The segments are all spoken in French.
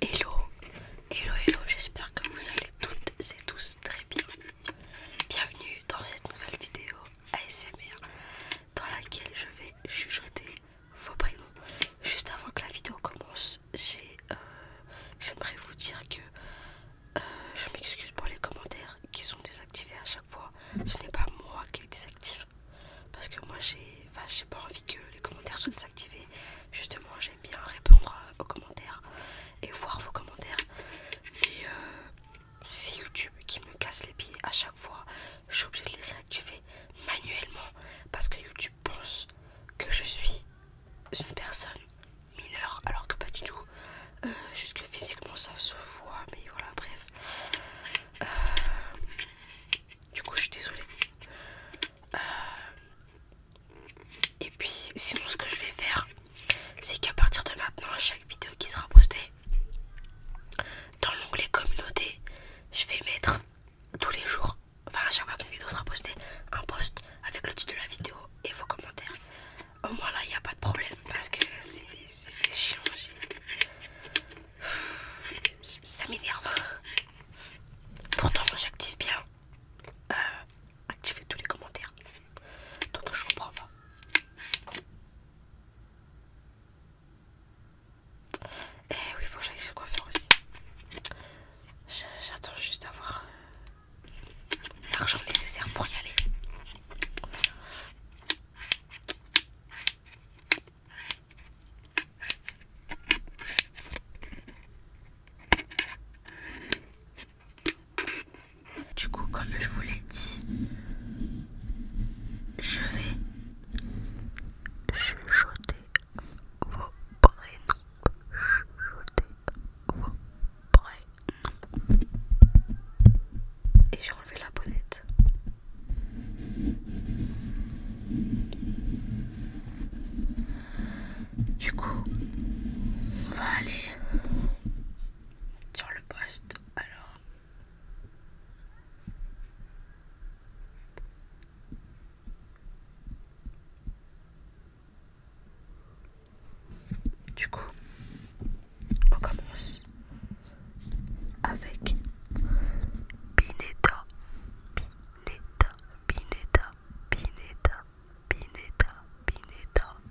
Hello, hello, hello, j'espère que vous allez toutes et tous très bien. Bienvenue dans cette nouvelle vidéo ASMR dans laquelle je vais chuchoter vos prénoms. Juste avant que la vidéo commence, euh, j'aimerais vous dire que euh, je m'excuse pour les commentaires qui sont désactivés à chaque fois. Ce n'est pas moi qui les désactive parce que moi j'ai j'ai pas envie que les commentaires soient désactivés. Justement, j'aime bien répondre aux commentaires et voir vos commentaires. Euh, c'est YouTube qui me casse les pieds à chaque fois. Je suis de les réactiver manuellement parce que YouTube pense que je suis une personne mineure alors que pas du tout. Euh, juste que physiquement ça se voit, mais voilà, bref. Euh, du coup, je suis désolée. Euh, et puis, sinon, ce que je vais faire, c'est qu'à partir de maintenant, chaque vidéo qui sera postée dans l'onglet communauté, je vais mettre tous les jours, enfin à chaque fois qu'une vidéo sera postée, un post avec le titre de la vidéo et vos commentaires. Au moins là, il n'y a pas de problème parce que c'est chiant. Ça m'énerve. Pourtant, j'active bien. Euh, activer tous les commentaires. Donc je comprends pas. Eh oui, faut que j'aille se coiffeur aussi. J'attends juste d'avoir euh, l'argent nécessaire pour y aller. Du coup, comme je vous l'ai dit, je vais chuchoter vos prénoms. Chuchoter vos prénoms. Et j'ai enlevé la bonnette. Du coup, on va aller sur le poste. Alors, du coup, on commence avec Bineta. Bineta. Bineta. Bineta. Bineta. Bineta.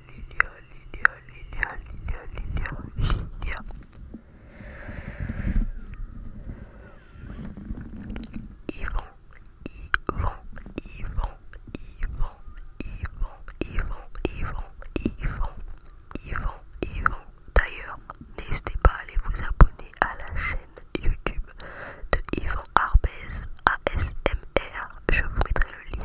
Lilia, Lilia, Lilia, Lilia, Lilia, Ivan, Yvan, Yvan, Yvan, Yvan, Yvan, Yvan, Yvan, Yvan, Yvan, D'ailleurs, n'hésitez pas à aller vous abonner à la chaîne YouTube de Yvan Arbez ASMR. Je vous mettrai le lien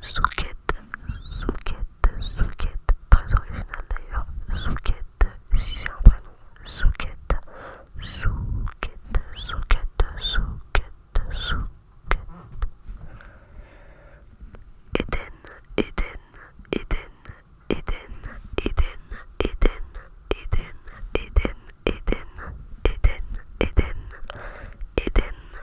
Souquette, Souquette, Souquette, très original d'ailleurs. Souquette, si c'est un prénom. Souquette, Souquette, Souquette, Souquette, Souquette. Eden, Eden, Eden, Eden, Eden, Eden, Eden, Eden, Eden, Eden, Eden, Eden,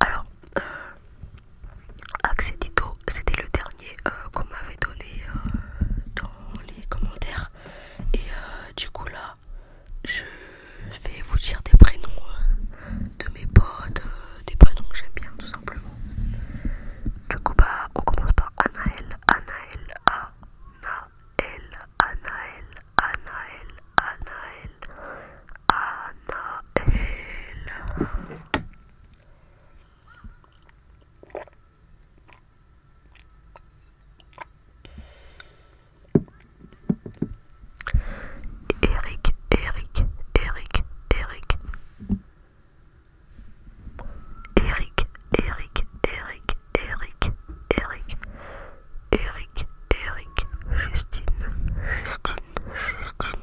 alors euh, Accédito c'était le dernier euh, qu'on m'avait donné euh, dans les commentaires et du coup là je vais vous dire des prénoms hein, de mes potes, des prénoms que j'aime bien tout simplement. Du coup bah on commence par Anaël, Anaël, Anaël, Anaël, Anaël, Anaël, Anaël. Eric, Eric, Eric, Eric. Eric, Eric, Eric, Eric, Eric. Eric, Eric, Justine, Justine, Justine.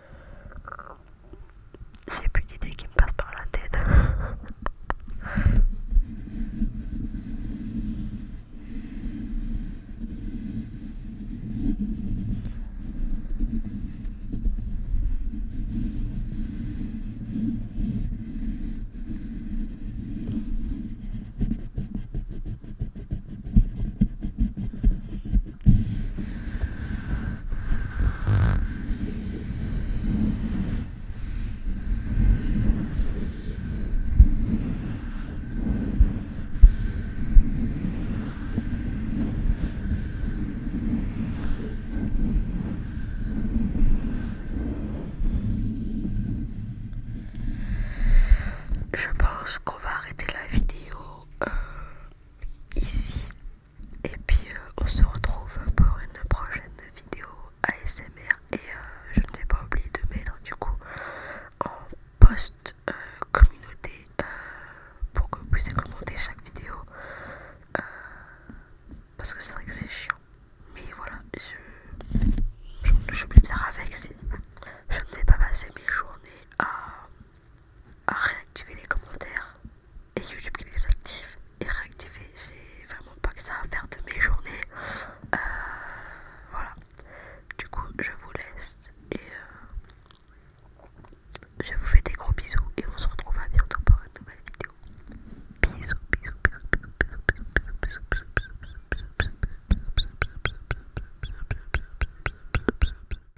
J'ai plus d'idées qui me passent par la tête. Je pense qu'on va arrêter la vidéo euh, ici et puis euh, on se retrouve pour une prochaine vidéo ASMR et euh, je ne vais pas oublier de mettre du coup en post euh, communauté pour que vous puissiez commenter chaque vidéo parce que c'est vrai que c'est chiant mais voilà je, je, vais le faire avec je ne vais pas passer mes journées à à réactiver les commentaires et YouTube qui les active et réactiver. J'ai vraiment pas que ça à faire de mes journées. voilà. Du coup, je vous laisse et je vous fais des gros bisous et on se retrouve à bientôt pour une nouvelle vidéo. bisous, bisous, bisous, bisous, bisous, bisous, bisous, bisous, bisous,